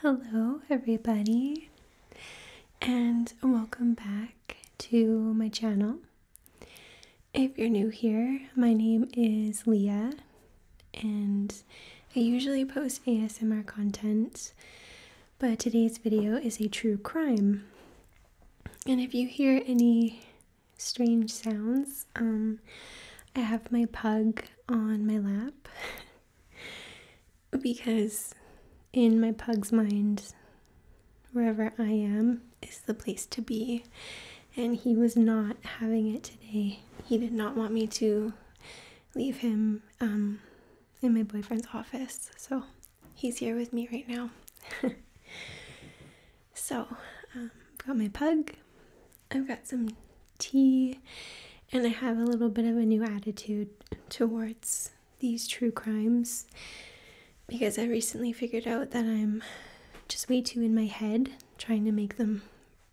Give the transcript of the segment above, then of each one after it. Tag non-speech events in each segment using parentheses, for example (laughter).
Hello, everybody, and welcome back to my channel. If you're new here, my name is Leah, and I usually post ASMR content but today's video is a true crime. And if you hear any strange sounds, um, I have my pug on my lap (laughs) because in my pug's mind, wherever I am is the place to be. And he was not having it today. He did not want me to leave him um, in my boyfriend's office. So he's here with me right now. (laughs) so I've um, got my pug, I've got some tea, and I have a little bit of a new attitude towards these true crimes because I recently figured out that I'm just way too in my head trying to make them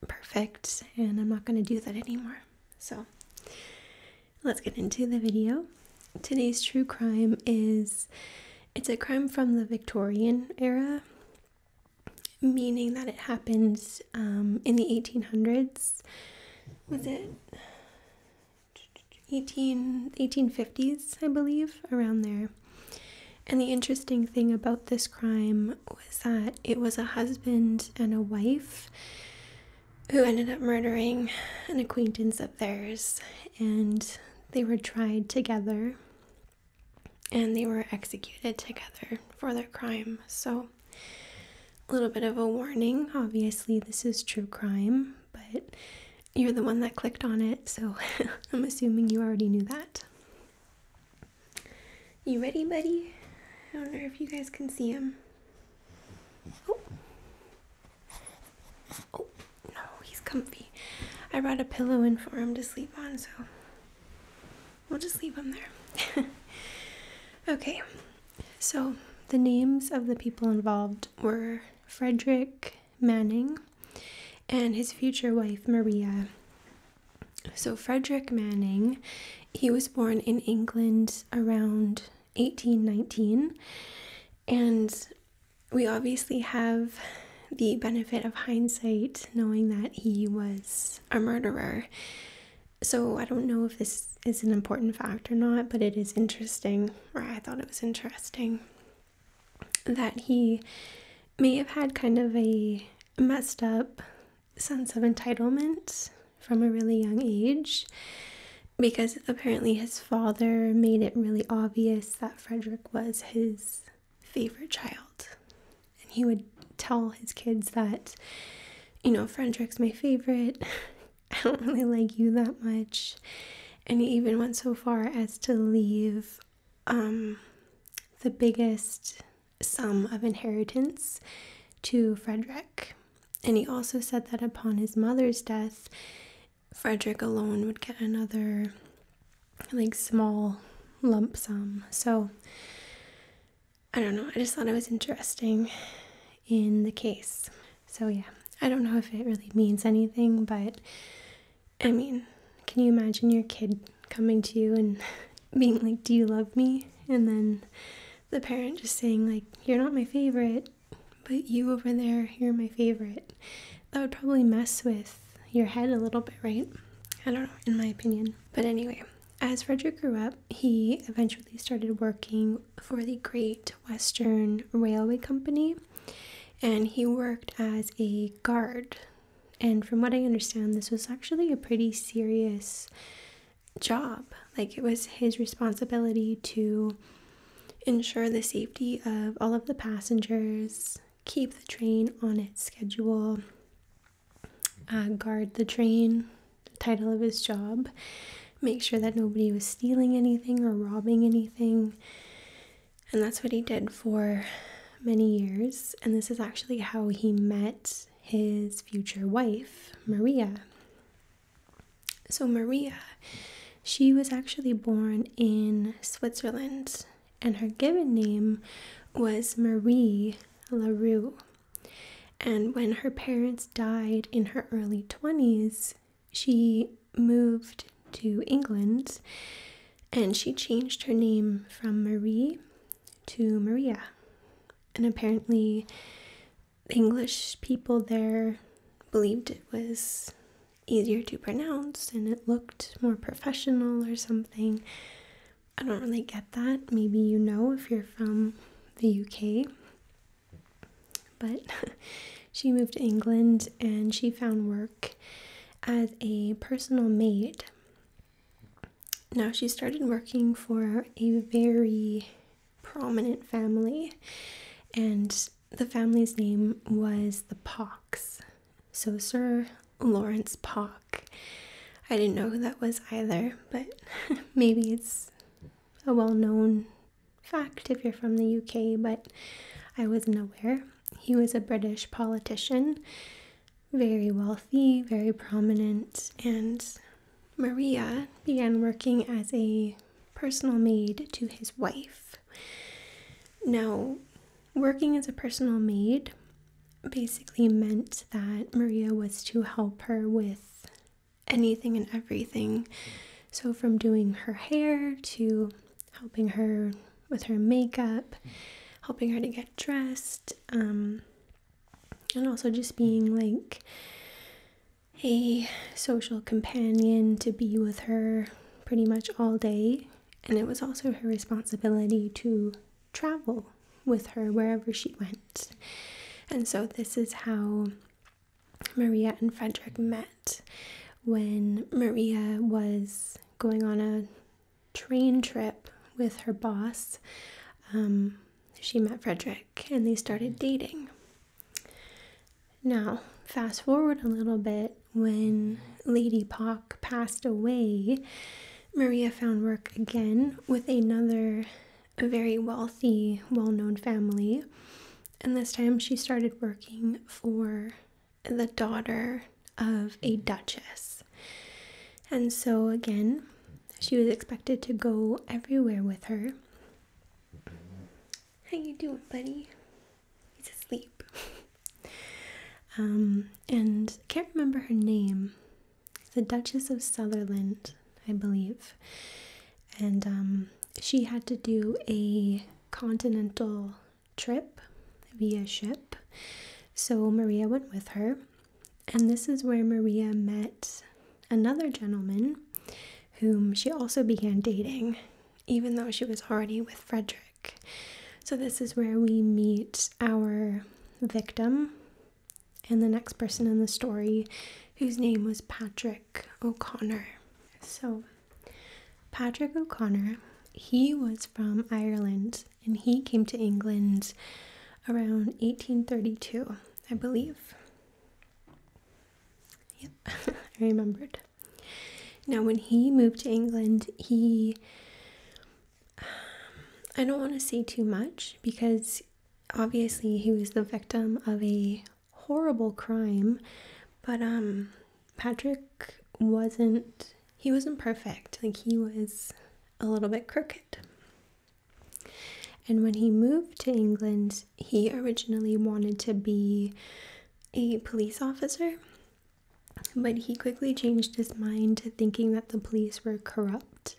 perfect, and I'm not going to do that anymore. So Let's get into the video. Today's true crime is it's a crime from the Victorian era, meaning that it happened um, in the 1800s. Was it 18, 1850s, I believe, around there. And the interesting thing about this crime was that it was a husband and a wife who ended up murdering an acquaintance of theirs, and they were tried together and they were executed together for their crime. So, a little bit of a warning obviously, this is true crime, but you're the one that clicked on it, so (laughs) I'm assuming you already knew that. You ready, buddy? I don't know if you guys can see him. Oh. Oh, no, he's comfy. I brought a pillow in for him to sleep on, so we'll just leave him there. (laughs) okay, so the names of the people involved were Frederick Manning and his future wife, Maria. So, Frederick Manning, he was born in England around Eighteen, nineteen, And we obviously have the benefit of hindsight, knowing that he was a murderer. So I don't know if this is an important fact or not, but it is interesting, or I thought it was interesting, that he may have had kind of a messed up sense of entitlement from a really young age because apparently his father made it really obvious that Frederick was his favorite child. And he would tell his kids that, you know, Frederick's my favorite. (laughs) I don't really like you that much. And he even went so far as to leave um, the biggest sum of inheritance to Frederick. And he also said that upon his mother's death, Frederick alone would get another like small lump sum. So I don't know. I just thought it was interesting in the case. So yeah, I don't know if it really means anything, but I mean, can you imagine your kid coming to you and being like, "Do you love me?" and then the parent just saying like, "You're not my favorite." but you over there, you're my favorite. That would probably mess with your head a little bit, right? I don't know, in my opinion. But anyway, as Frederick grew up, he eventually started working for the Great Western Railway Company and he worked as a guard. And from what I understand, this was actually a pretty serious job. Like it was his responsibility to ensure the safety of all of the passengers, keep the train on its schedule, uh, guard the train, the title of his job, make sure that nobody was stealing anything or robbing anything. And that's what he did for many years. And this is actually how he met his future wife, Maria. So, Maria, she was actually born in Switzerland, and her given name was Marie LaRue. And when her parents died in her early 20s, she moved to England and she changed her name from Marie to Maria. And apparently, English people there believed it was easier to pronounce and it looked more professional or something. I don't really get that. Maybe you know if you're from the UK. But (laughs) she moved to England and she found work as a personal maid. Now she started working for a very prominent family, and the family's name was the Pocks. So, Sir Lawrence Pock. I didn't know who that was either, but (laughs) maybe it's a well known fact if you're from the UK, but I wasn't aware. He was a British politician, very wealthy, very prominent, and Maria began working as a personal maid to his wife. Now, working as a personal maid basically meant that Maria was to help her with anything and everything. So, from doing her hair to helping her with her makeup, helping her to get dressed, um, and also just being like a social companion to be with her pretty much all day, and it was also her responsibility to travel with her wherever she went. And so, this is how Maria and Frederick met when Maria was going on a train trip with her boss. Um, she met Frederick and they started dating. Now, fast forward a little bit when Lady Pock passed away, Maria found work again with another very wealthy, well known family. And this time she started working for the daughter of a duchess. And so, again, she was expected to go everywhere with her. How you doing, buddy? He's asleep. (laughs) Um, and I can't remember her name. The Duchess of Sutherland, I believe. And um, she had to do a continental trip via ship. So Maria went with her. And this is where Maria met another gentleman whom she also began dating, even though she was already with Frederick. So, this is where we meet our victim and the next person in the story, whose name was Patrick O'Connor. So, Patrick O'Connor, he was from Ireland and he came to England around 1832, I believe. Yep, (laughs) I remembered. Now, when he moved to England, he. Um, I don't want to say too much because obviously he was the victim of a horrible crime, but um, Patrick wasn't. He wasn't perfect. Like, he was a little bit crooked. And when he moved to England, he originally wanted to be a police officer, but he quickly changed his mind to thinking that the police were corrupt.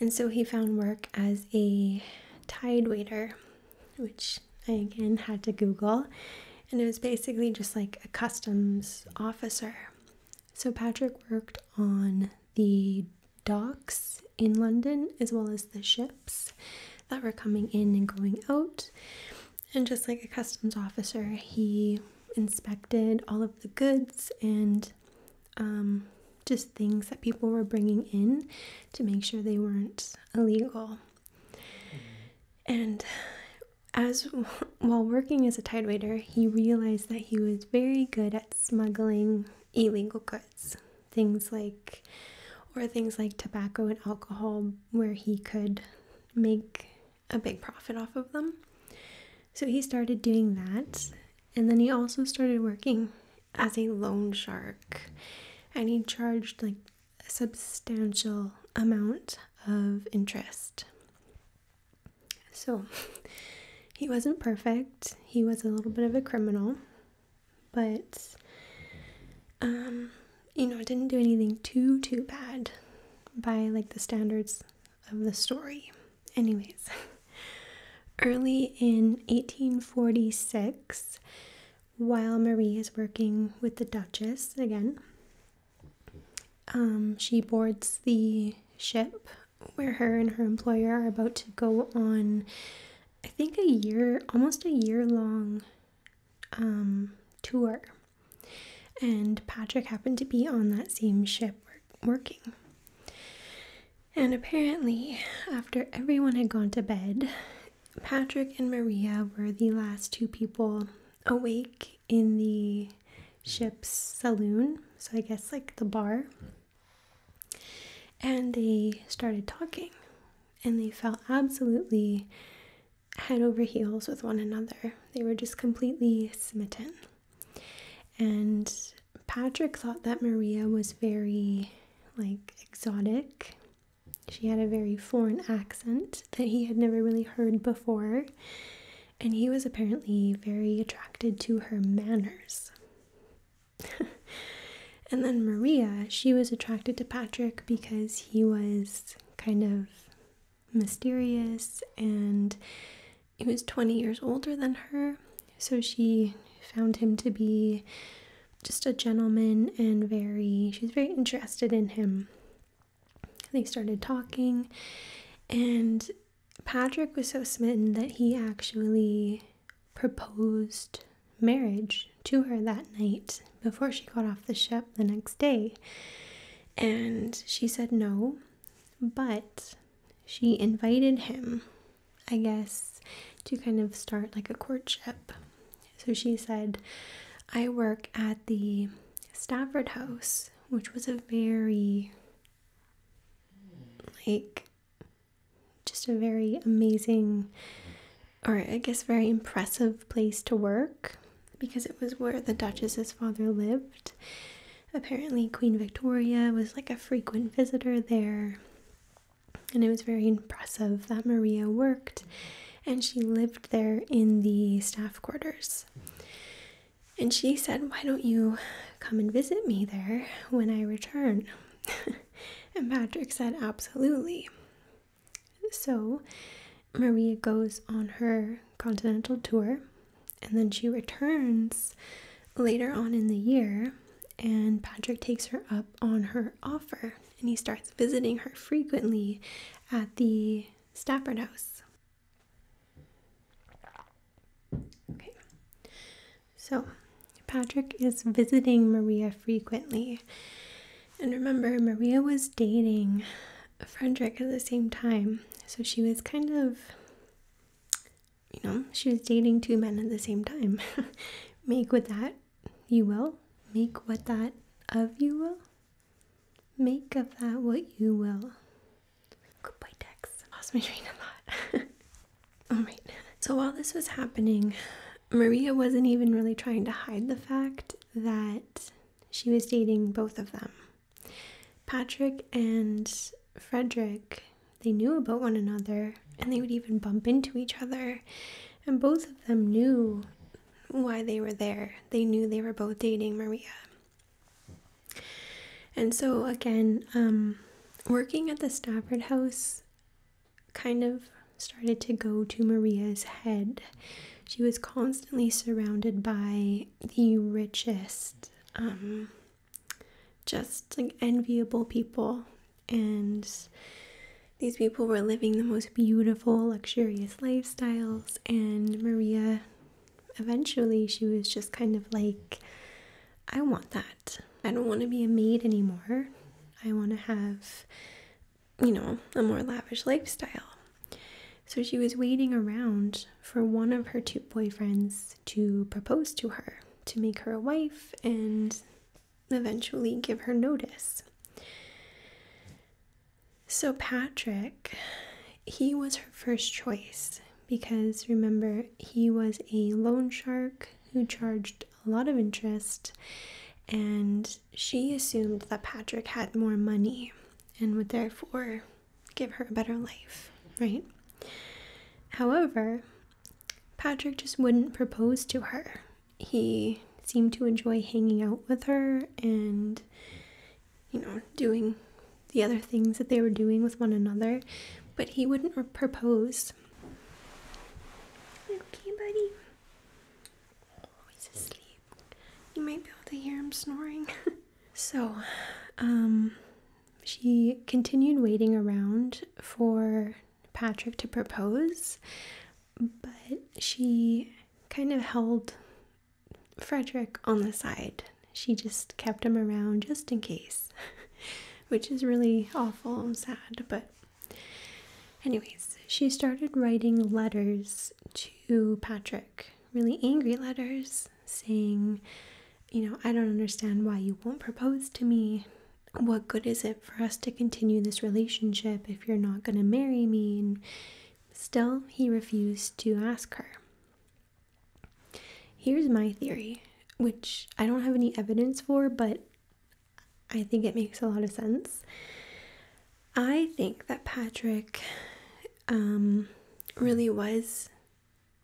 And so he found work as a tide waiter, which I again had to Google. And it was basically just like a customs officer. So Patrick worked on the docks in London as well as the ship that were coming in and going out. And just like a customs officer, he inspected all of the goods and um, just things that people were bringing in to make sure they weren't illegal. Mm-hmm. And as while working as a tidewaiter, he realized that he was very good at smuggling illegal goods things like or things like tobacco and alcohol where he could make a big profit off of them. So he started doing that and then he also started working as a loan shark and he charged like a substantial amount of interest. So (laughs) he wasn't perfect. He was a little bit of a criminal but um, you know, I didn't do anything too too bad by like the standards of the story. Anyways, (laughs) early in 1846, while Marie is working with the Duchess again, um, she boards the ship where her and her employer are about to go on I think a year, almost a year long um, tour. And Patrick happened to be on that same ship working. And apparently, after everyone had gone to bed, Patrick and Maria were the last two people awake in the ship's saloon. So, I guess like the bar. And they started talking and they fell absolutely head over heels with one another. They were just completely smitten. And Patrick thought that Maria was very like exotic. She had a very foreign accent that he had never really heard before, and he was apparently very attracted to her manners. (laughs) and then Maria, she was attracted to Patrick because he was kind of mysterious and he was 20 years older than her. So she found him to be just a gentleman and very, she's very interested in him. They started talking, and Patrick was so smitten that he actually proposed marriage to her that night before she got off the ship the next day. And she said no, but she invited him, I guess, to kind of start like a courtship. So she said, I work at the Stafford House, which was a very like just a very amazing, or I guess very impressive place to work because it was where the Duchess's father lived. Apparently, Queen Victoria was like a frequent visitor there, and it was very impressive that Maria worked and she lived there in the staff quarters. And she said, Why don't you come and visit me there when I return? (laughs) and Patrick said, Absolutely. So Maria goes on her continental tour and then she returns later on in the year and Patrick takes her up on her offer and he starts visiting her frequently at the Stafford House. Okay, so Patrick is visiting Maria frequently and remember, Maria was dating Frederick at the same time. So she was kind of, you know, she was dating two men at the same time. (laughs) Make with that you will. Make what that of you will. Make of that what you will. Goodbye, Dex. Lost my train of thought. (laughs) All right. So while this was happening, Maria wasn't even really trying to hide the fact that she was dating both of them. Patrick and Frederick, they knew about one another and they would even bump into each other. And both of them knew why they were there. They knew they were both dating Maria. And so, again, um, working at the Stafford house kind of started to go to Maria's head. She was constantly surrounded by the richest, um, just like enviable people. And these people were living the most beautiful, luxurious lifestyles. And Maria, eventually, she was just kind of like, I want that. I don't want to be a maid anymore. I want to have you know, a more lavish lifestyle. So she was waiting around for one of her two boyfriends to propose to her, to make her a wife, and eventually give her notice. So, Patrick, he was her first choice because remember, he was a loan shark who charged a lot of interest and she assumed that Patrick had more money and would therefore give her a better life, right? However, Patrick just wouldn't propose to her. He seemed to enjoy hanging out with her and, you know, doing the other things that they were doing with one another, but he wouldn't propose. Okay, buddy. He's asleep. You might be able to hear him snoring. (laughs) so, um, she continued waiting around for Patrick to propose, but she kind of held Frederick on the side. She just kept him around just in case, (laughs) which is really awful and sad, but Anyways, she started writing letters to Patrick, really angry letters, saying, You know, I don't understand why you won't propose to me. What good is it for us to continue this relationship if you're not going to marry me? still, he refused to ask her. Here's my theory, which I don't have any evidence for, but I think it makes a lot of sense. I think that Patrick um, really was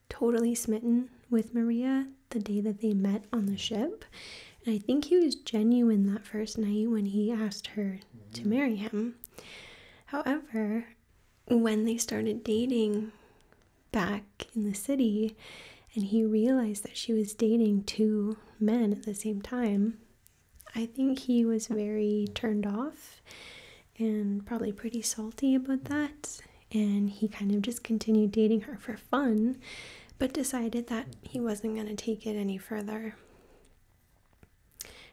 totally smitten with Maria the day that they met on the ship. And I think he was genuine that first night when he asked her to mm-hmm. marry him. However, when they started dating back in the city and he realized that she was dating two men at the same time, I think he was very turned off and probably pretty salty about that. And he kind of just continued dating her for fun, but decided that he wasn't going to take it any further.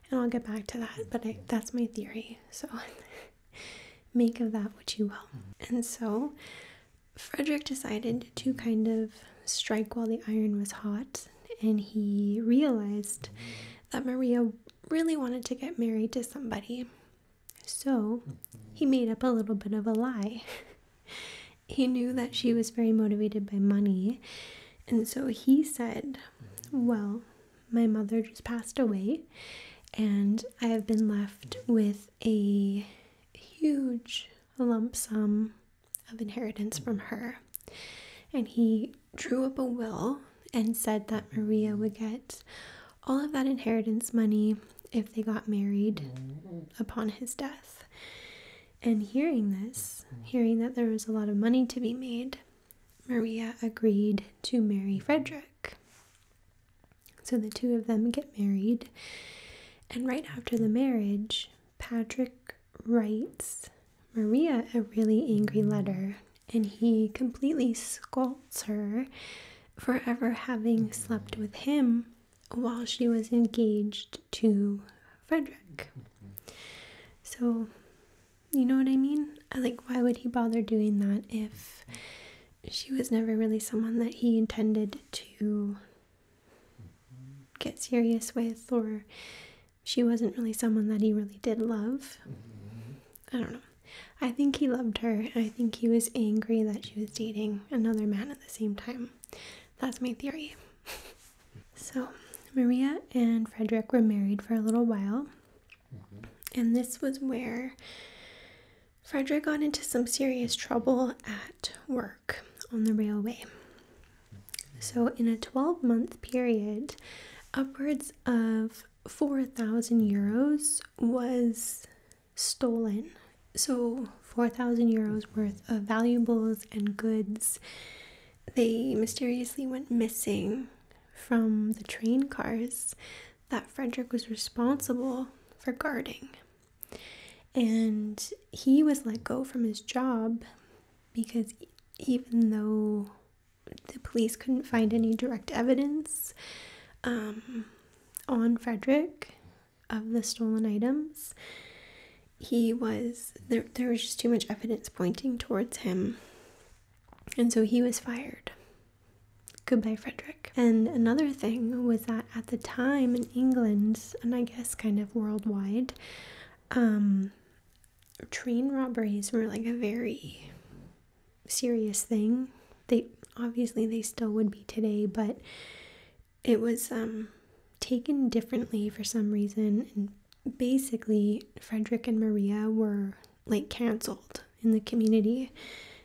And I'll get back to that, but that's my theory. So (laughs) make of that what you will. And so Frederick decided to kind of strike while the iron was hot, and he realized that Maria really wanted to get married to somebody. So he made up a little bit of a lie. (laughs) he knew that she was very motivated by money, and so he said, Well, my mother just passed away, and I have been left with a huge lump sum of inheritance from her. And he drew up a will and said that Maria would get all of that inheritance money if they got married upon his death. And hearing this, hearing that there was a lot of money to be made, Maria agreed to marry Frederick. So the two of them get married. And right after the marriage, Patrick writes Maria a really angry letter and he completely scolds her for ever having slept with him while she was engaged to Frederick. So, you know what I mean? Uh, like, why would he bother doing that if she was never really someone that he intended to get serious with, or she wasn't really someone that he really did love. I don't know. I think he loved her. I think he was angry that she was dating another man at the same time. That's my theory. (laughs) so, Maria and Frederick were married for a little while. And this was where Frederick got into some serious trouble at work on the railway. So, in a 12 month period, upwards of 4,000 euros was stolen. So, 4,000 euros worth of valuables and goods they mysteriously went missing from the train cars that Frederick was responsible for guarding. And he was let go from his job because even though the police couldn't find any direct evidence um, on Frederick of the stolen items, he was there, there was just too much evidence pointing towards him. And so he was fired. Goodbye, Frederick. And another thing was that at the time in England, and I guess kind of worldwide, um, train robberies were like a very serious thing. They obviously they still would be today, but it was um, taken differently for some reason. And basically, Frederick and Maria were like canceled in the community.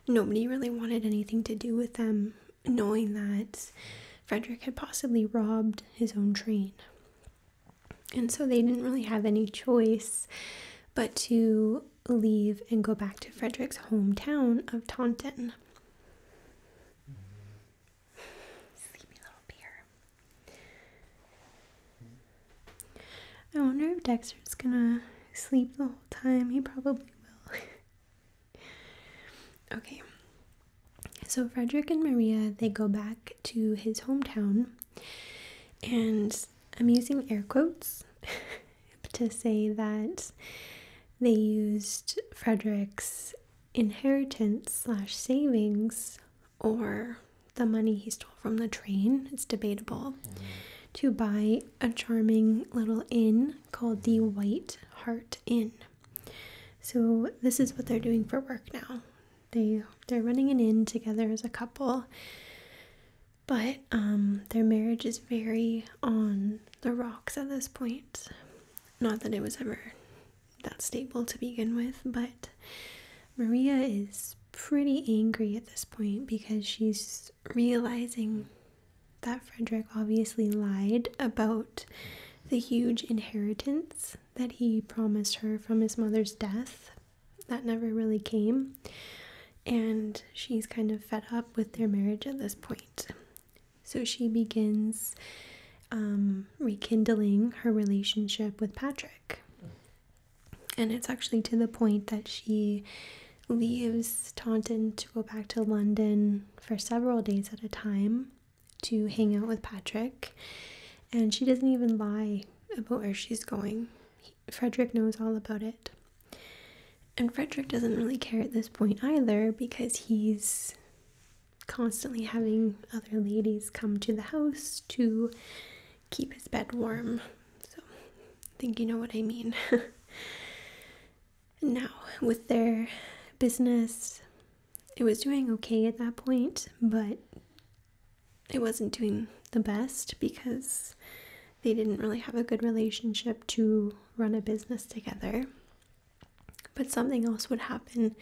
Nobody really wanted anything to do with them, knowing that Frederick had possibly robbed his own train. And so they didn't really have any choice but to leave and go back to Frederick's hometown of Taunton. Sleepy little beer. I wonder if Dexter's gonna sleep the whole time. He probably will. (laughs) okay, so Frederick and Maria, they go back to his hometown, and I'm using air quotes (laughs) to say that they used Frederick's inheritance slash savings or the money he stole from the train, it's debatable, to buy a charming little inn called the White Heart Inn. So this is what they're doing for work now. They they're running an inn together as a couple. But um, their marriage is very on the rocks at this point. Not that it was ever that stable to begin with, but Maria is pretty angry at this point because she's realizing that Frederick obviously lied about the huge inheritance that he promised her from his mother's death. That never really came. And she's kind of fed up with their marriage at this point. So she begins um, rekindling her relationship with Patrick. And it's actually to the point that she leaves Taunton to go back to London for several days at a time to hang out with Patrick, and she doesn't even lie about where she's going. Frederick knows all about it. And Frederick doesn't really care at this point either because he's constantly having other ladies come to the house to keep his bed warm. So I think you know what I mean. (laughs) now, with their business it was doing okay at that point, but it wasn't doing the best because they didn't really have a good relationship to run a business together. But something else would happen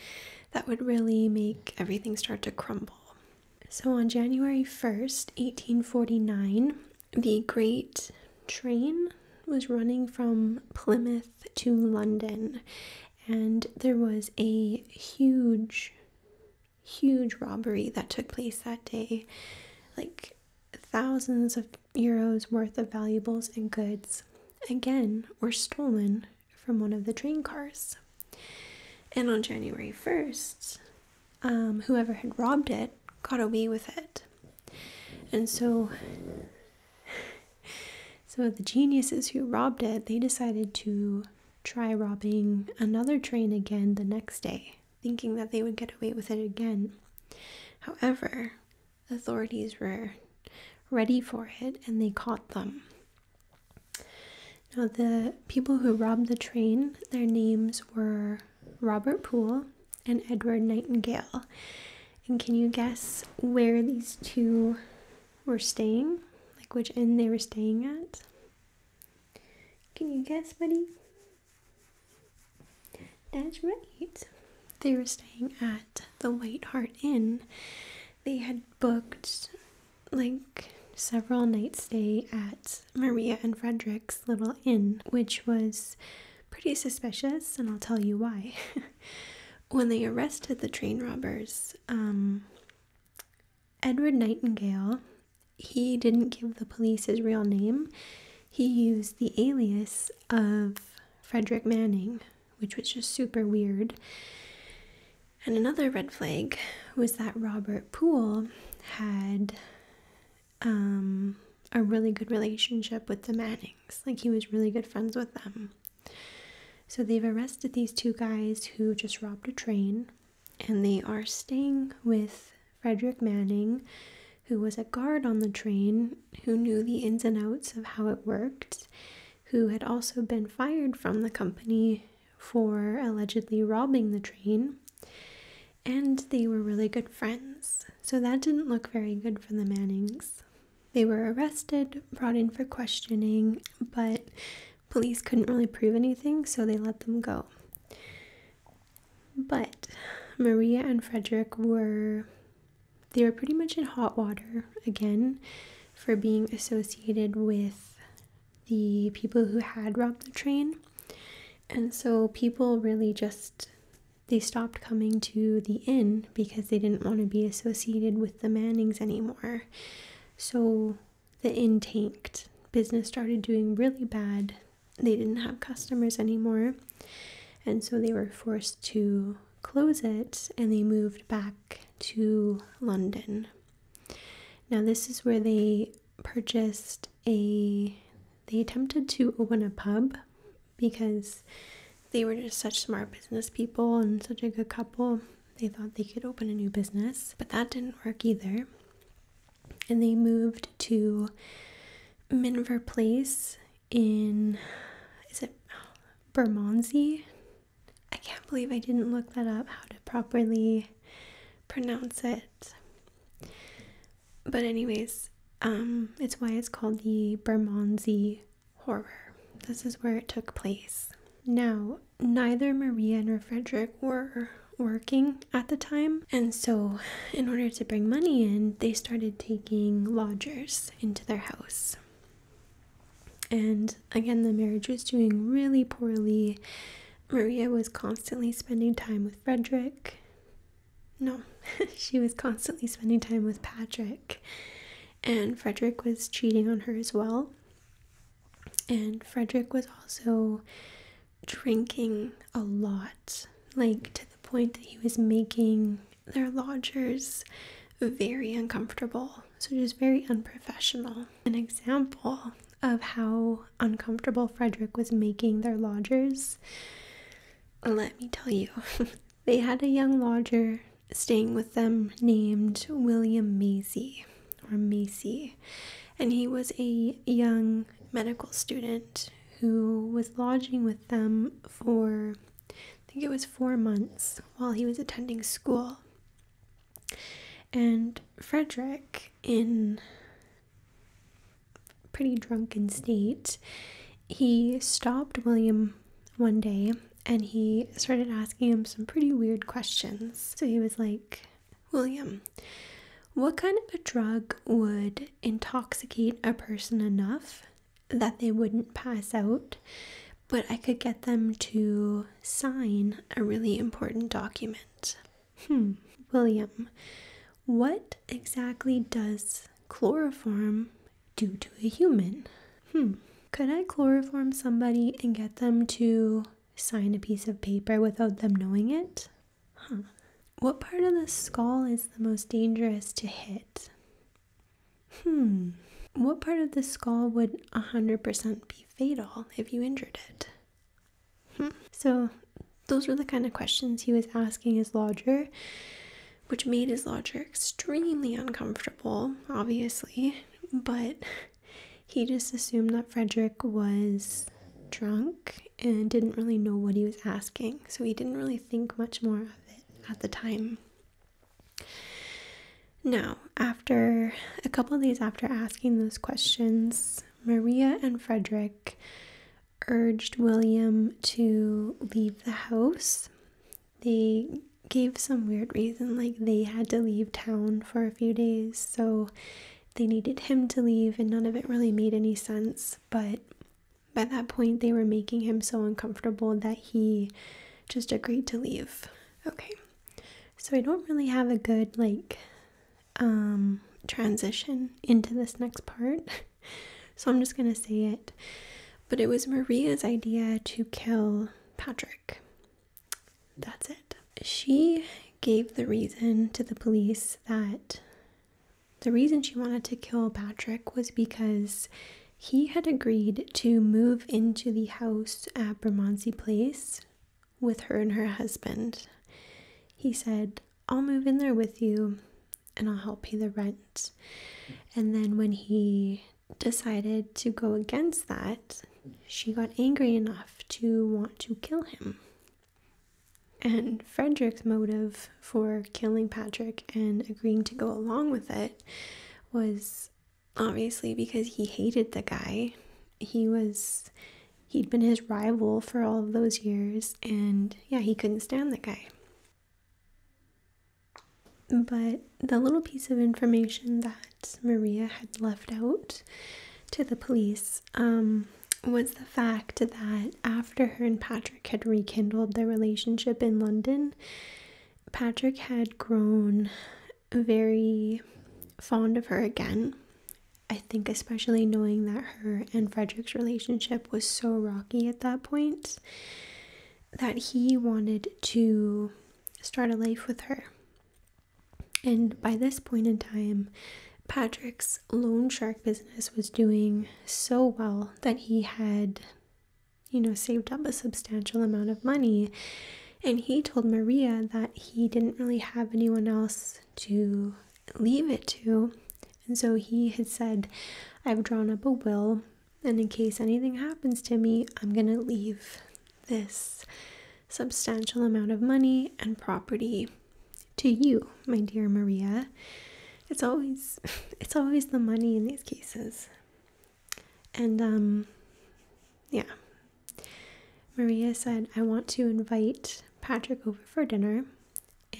that would really make everything start to crumble. So on January 1st, 1849, the Great Train was running from Plymouth to London, and there was a huge huge robbery that took place that day like thousands of euros worth of valuables and goods again were stolen from one of the train cars and on january 1st um, whoever had robbed it got away with it and so (laughs) so the geniuses who robbed it, they decided to try robbing another train again the next day, thinking that they would get away with it again. However, authorities were ready for it and they caught them. Now, the people who robbed the train, their names were Robert Poole and Edward Nightingale. And can you guess where these two were staying, like which inn they were staying at. Can you guess, buddy? That's right. They were staying at the White Hart Inn. They had booked like several nights stay at Maria and Frederick's little inn, which was pretty suspicious, and I'll tell you why. (laughs) when they arrested the train robbers, um, Edward Nightingale, he didn't give the police his real name. He used the alias of Frederick Manning, which was just super weird. And another red flag was that Robert Poole had um, a really good relationship with the Mannings. Like, he was really good friends with them. So they've arrested these two guys who just robbed a train, and they are staying with Frederick Manning, who was a guard on the train, who knew the ins and outs of how it worked, who had also been fired from the company for allegedly robbing the train. And they were really good friends, so that didn't look very good for the Mannings. They were arrested, brought in for questioning, but police couldn't really prove anything, so they let them go. But Maria and Frederick were they were pretty much in hot water again for being associated with the people who had robbed the train. And so people really just they stopped coming to the inn because they didn't want to be associated with the Mannings anymore. So the inn tanked. Business started doing really bad. They didn't have customers anymore. And so they were forced to close it and they moved back to London. Now, this is where they purchased a, they attempted to open a pub because they were just such smart business people and such a good couple they thought they could open a new business, but that didn't work either. And they moved to Minver Place in, is it Bermondsey? I can't believe I didn't look that up, how to properly pronounce it. But, anyways, um, it's why it's called the Bermondsey horror. This is where it took place. Now, neither Maria nor Frederick were working at the time, and so in order to bring money in, they started taking lodgers into their house. And again, the marriage was doing really poorly. Maria was constantly spending time with Frederick. No, (laughs) she was constantly spending time with Patrick and Frederick was cheating on her as well. And Frederick was also drinking a lot, like to the point that he was making their lodgers very uncomfortable. So, just very unprofessional. An example of how uncomfortable Frederick was making their lodgers. Let me tell you, (laughs) they had a young lodger staying with them named William Macy or Macy, and he was a young medical student who was lodging with them for I think it was four months while he was attending school. And Frederick, in pretty drunken state, he stopped William one day and he started asking him some pretty weird questions. So he was like, William, what kind of a drug would intoxicate a person enough that they wouldn't pass out, but I could get them to sign a really important document? Hmm, William, what exactly does chloroform do to a human? Hmm, could I chloroform somebody and get them to sign a piece of paper without them knowing it? Huh. What part of the skull is the most dangerous to hit? Hmm. What part of the skull would 100% be fatal if you injured it? Hmm. So, those were the kind of questions he was asking his lodger, which made his lodger extremely uncomfortable, obviously but he just assumed that Frederick was drunk and didn't really know what he was asking, so he didn't really think much more of it at the time. Now, after a couple of days after asking those questions, Maria and Frederick urged William to leave the house they gave some weird reason like they had to leave town for a few days so they needed him to leave and none of it really made any sense but by that point they were making him so uncomfortable that he just agreed to leave okay so i don't really have a good like um transition into this next part (laughs) so i'm just going to say it but it was maria's idea to kill patrick that's it. She gave the reason to the police that the reason she wanted to kill Patrick was because he had agreed to move into the house at Bermondsey Place with her and her husband. He said, I'll move in there with you and I'll help pay the rent. And then when he decided to go against that, she got angry enough to want to kill him. And Frederick's motive for killing Patrick and agreeing to go along with it was obviously because he hated the guy. He was, he'd been his rival for all of those years, and yeah, he couldn't stand the guy. But the little piece of information that Maria had left out to the police um, was the fact that after her and Patrick had rekindled their relationship in London, Patrick had grown very fond of her again. I think, especially knowing that her and Frederick's relationship was so rocky at that point, that he wanted to start a life with her. And by this point in time, Patrick's loan shark business was doing so well that he had, you know, saved up a substantial amount of money. And he told Maria that he didn't really have anyone else to leave it to. And so he had said, I've drawn up a will, and in case anything happens to me, I'm going to leave this substantial amount of money and property to you, my dear Maria. It's always (laughs) it's always the money in these cases. And um yeah. Maria said, I want to invite Patrick over for dinner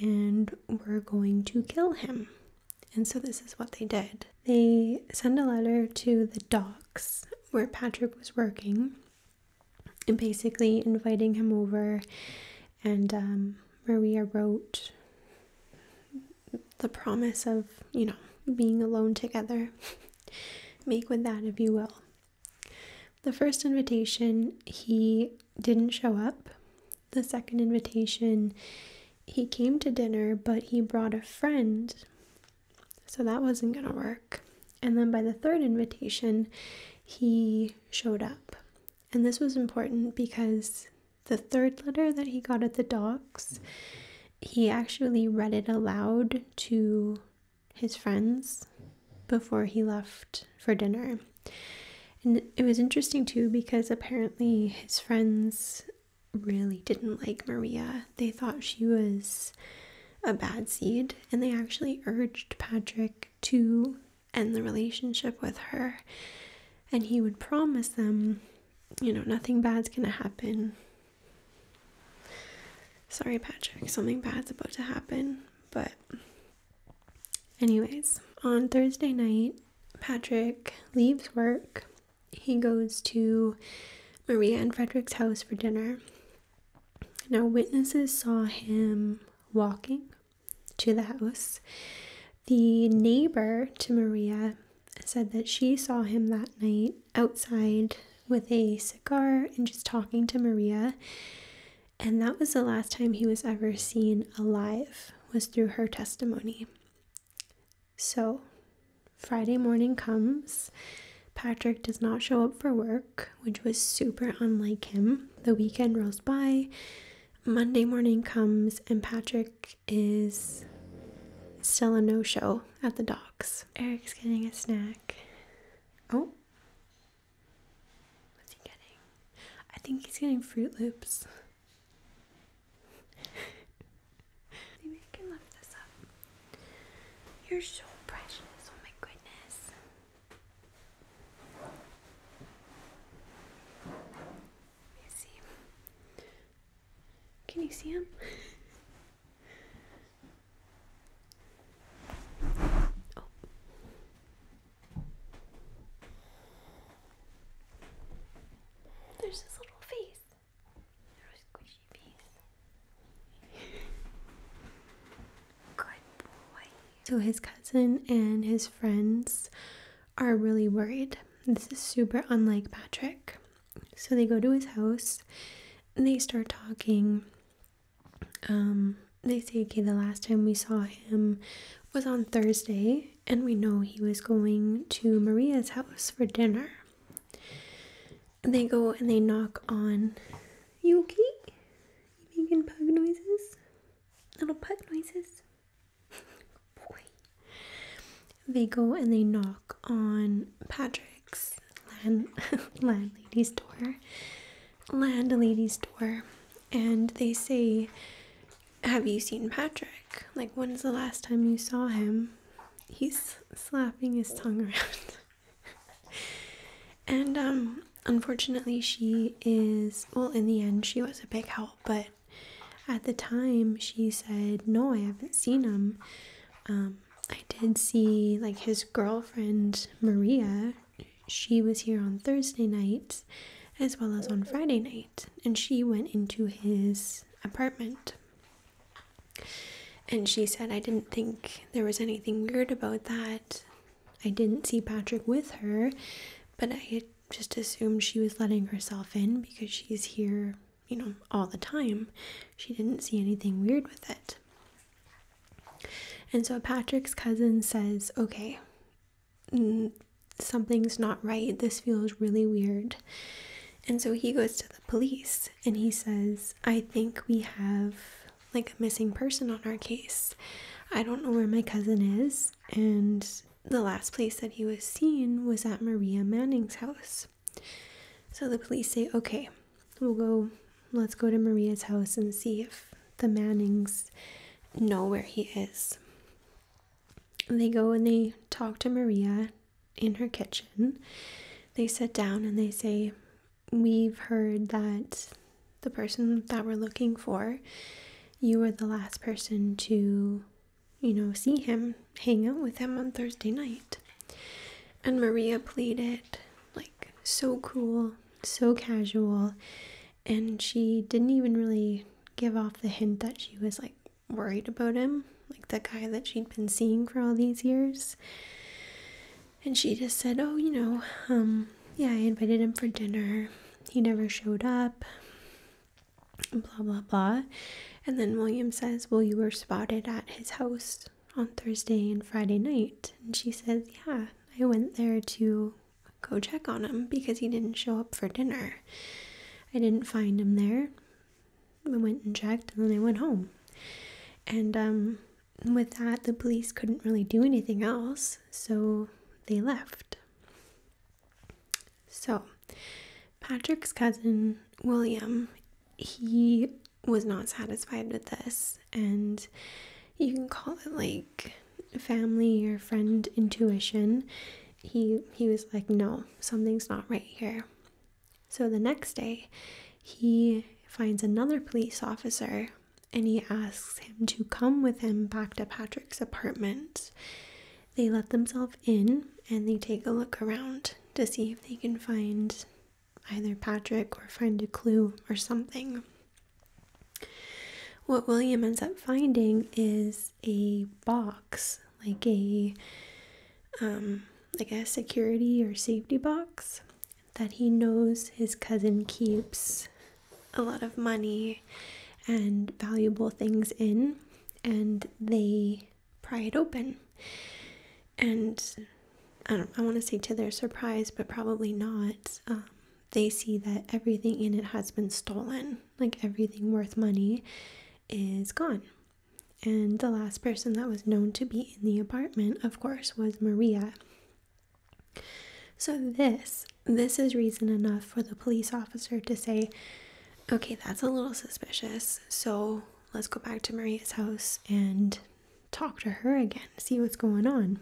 and we're going to kill him. And so this is what they did. They send a letter to the dog where Patrick was working and basically inviting him over and Maria um, wrote the promise of, you know, being alone together. (laughs) Make with that if you will. The first invitation, he didn't show up. The second invitation, he came to dinner, but he brought a friend so that wasn't going to work. And then by the third invitation, he showed up. And this was important because the third letter that he got at the docks, he actually read it aloud to his friends before he left for dinner. And it was interesting too because apparently his friends really didn't like Maria. They thought she was a bad seed, and they actually urged Patrick to end the relationship with her. And he would promise them, you know, nothing bad's gonna happen. Sorry, Patrick, something bad's about to happen. But, anyways, on Thursday night, Patrick leaves work he goes to Maria and Frederick's house for dinner. Now, witnesses saw him walking to the house. The neighbor to Maria said that she saw him that night outside with a cigar and just talking to Maria. And that was the last time he was ever seen alive, was through her testimony. So, Friday morning comes. Patrick does not show up for work, which was super unlike him. The weekend rolls by. Monday morning comes, and Patrick is still a no show at the docks. Eric's getting a snack. Oh. What's he getting? I think he's getting Fruit Loops. (laughs) Maybe I can lift this up. You're so precious. Oh my goodness. Let me see. Can you see him? (laughs) oh. There's his little face. So his cousin and his friends are really worried. This is super unlike Patrick. So they go to his house and they start talking. Um, they say, okay, the last time we saw him was on Thursday, and we know he was going to Maria's house for dinner they go and they knock on. Yuki. You making pug noises? Little pug noises. They go and they knock on Patrick's land (laughs) landlady's door. Landlady's door. And they say, Have you seen Patrick? Like, when's the last time you saw him? he's slapping his tongue around. (laughs) and um, unfortunately she is well in the end she was a big help, but at the time she said, No, I haven't seen him. Um, I did see like his girlfriend Maria. She was here on Thursday night as well as on Friday night, and she went into his apartment. And she said, I didn't think there was anything weird about that. I didn't see Patrick with her, but I just assumed she was letting herself in because she's here, you know, all the time. She didn't see anything weird with it. And so Patrick's cousin says, Okay, something's not right. This feels really weird. And so he goes to the police and he says, I think we have like a missing person on our case. I don't know where my cousin is. And the last place that he was seen was at Maria Manning's house. So the police say, okay, we'll go, let's go to Maria's house and see if the Mannings know where he is. they go and they talk to Maria in her kitchen. They sit down and they say, We've heard that the person that we're looking for, you were the last person to, you know, see him, hang out with him on Thursday night. And Maria pleaded, like, so cool, so casual, and she didn't even really give off the hint that she was, like, worried about him like the guy that she'd been seeing for all these years. And she just said, Oh, you know, um, yeah, I invited him for dinner. He never showed up. Blah, blah, blah. And then William says, Well, you were spotted at his house on Thursday and Friday night. And she says, Yeah, I went there to go check on him because he didn't show up for dinner. I didn't find him there. I went and checked, and then I went home. And um, with that, the police couldn't really do anything else, so they left. So, Patrick's cousin, William, he was not satisfied with this, and you can call it like family or friend intuition. He he was like, no, something's not right here. So the next day, he finds another police officer and he asks him to come with him back to Patrick's apartment. They let themselves in and they take a look around to see if they can find either Patrick or find a clue or something. What William ends up finding is a box, like a um, like a security or safety box that he knows his cousin keeps a lot of money and valuable things in and they pry it open and i don't i want to say to their surprise but probably not um, they see that everything in it has been stolen like everything worth money is gone and the last person that was known to be in the apartment, of course, was Maria. So this this is reason enough for the police officer to say, "Okay, that's a little suspicious. So, let's go back to Maria's house and talk to her again, see what's going on."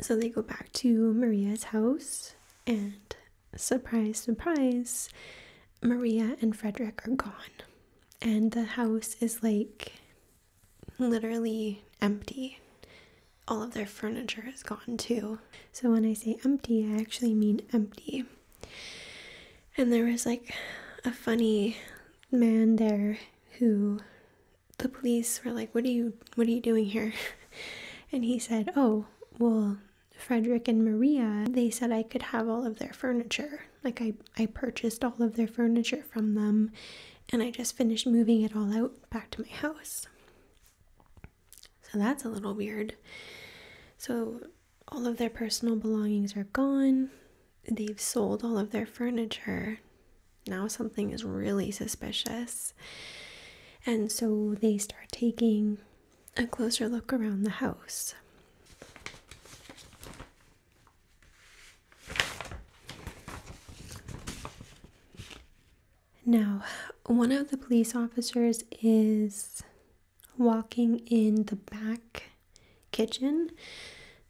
So they go back to Maria's house and surprise surprise, Maria and Frederick are gone and the house is like literally empty. All of their furniture is gone too. So when I say empty, I actually mean empty. And there was like a funny man there who the police were like, "What are you what are you doing here?" (laughs) And he said, "Oh, well, Frederick and Maria, they said I could have all of their furniture." Like I I purchased all of their furniture from them and I just finished moving it all out back to my house. So that's a little weird. So all of their personal belongings are gone. They've sold all of their furniture. Now something is really suspicious. And so they start taking a closer look around the house. Now, one of the police officers is walking in the back kitchen.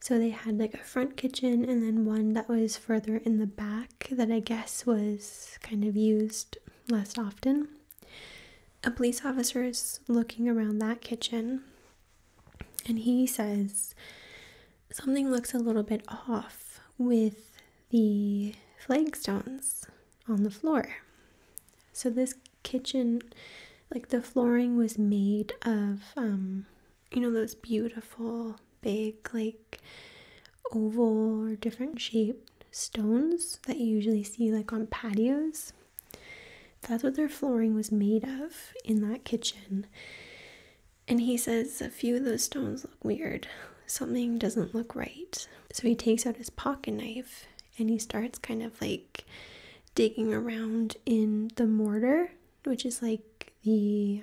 So they had like a front kitchen and then one that was further in the back that I guess was kind of used less often. A police officer is looking around that kitchen and he says something looks a little bit off with the flagstones on the floor. So this kitchen, like the flooring was made of, um, you know, those beautiful big, like oval or different shaped stones that you usually see like on patios. That's what their flooring was made of in that kitchen. And he says a few of those stones look weird. Something doesn't look right. So he takes out his pocket knife and he starts kind of like digging around in the mortar, which is like the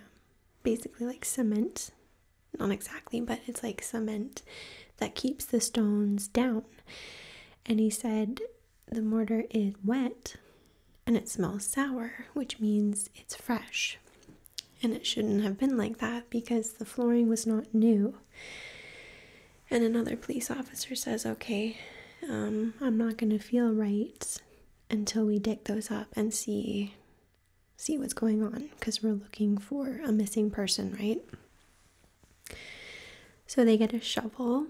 basically like cement. Not exactly, but it's like cement that keeps the stones down. And he said the mortar is wet and it smells sour, which means it's fresh. And it shouldn't have been like that because the flooring was not new. And another police officer says, okay, um, I'm not going to feel right until we dig those up and see see what's going on because we're looking for a missing person, right? So they get a shovel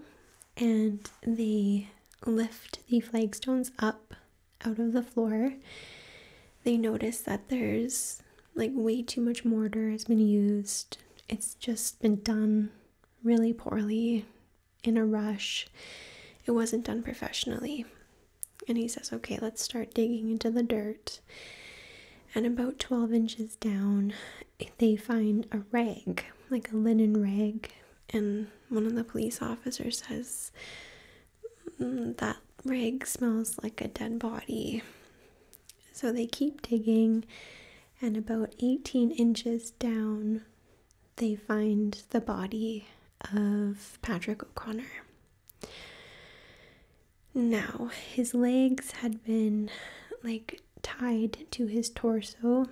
and they lift the flagstones up out of the floor. They notice that there's like way too much mortar has been used. It's just been done really poorly in a rush. It wasn't done professionally. And he says, okay, let's start digging into the dirt. And about 12 inches down, they find a rag, like a linen rag, and one of the police officers says mm, that rag smells like a dead body. So they keep digging, and about 18 inches down, they find the body of Patrick O'Connor. Now, his legs had been like tied to his torso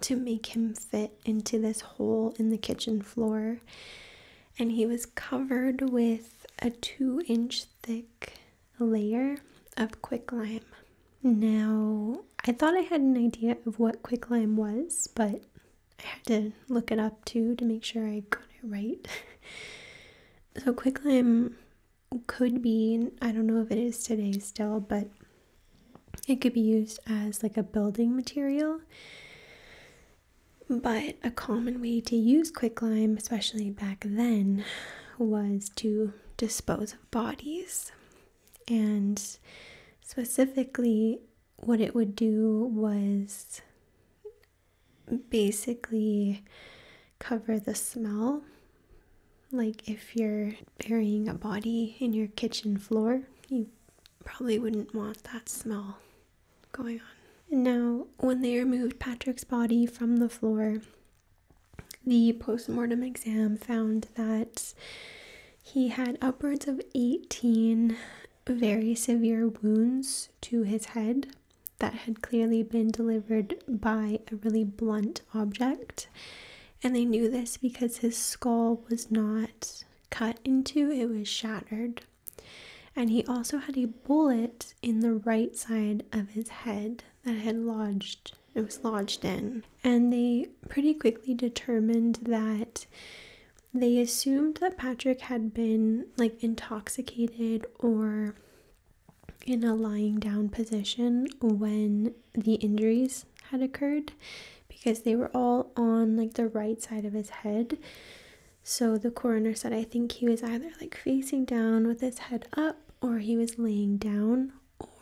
to make him fit into this hole in the kitchen floor. And he was covered with a two inch thick layer of quicklime. Now, I thought I had an idea of what quicklime was, but I had to look it up too to make sure I got it right. (laughs) so, quicklime could be, I don't know if it is today still, but it could be used as like a building material. But a common way to use quicklime, especially back then, was to dispose of bodies. And specifically, what it would do was basically cover the smell like if you're burying a body in your kitchen floor, you probably wouldn't want that smell going on. now, when they removed Patrick's body from the floor, the postmortem exam found that he had upwards of 18 very severe wounds to his head that had clearly been delivered by a really blunt object and they knew this because his skull was not cut into, it was shattered. And he also had a bullet in the right side of his head that had lodged, it was lodged in. And they pretty quickly determined that they assumed that Patrick had been like intoxicated or in a lying down position when the injuries had occurred because they were all on like the right side of his head. So the coroner said, I think he was either like facing down with his head up, or he was laying down,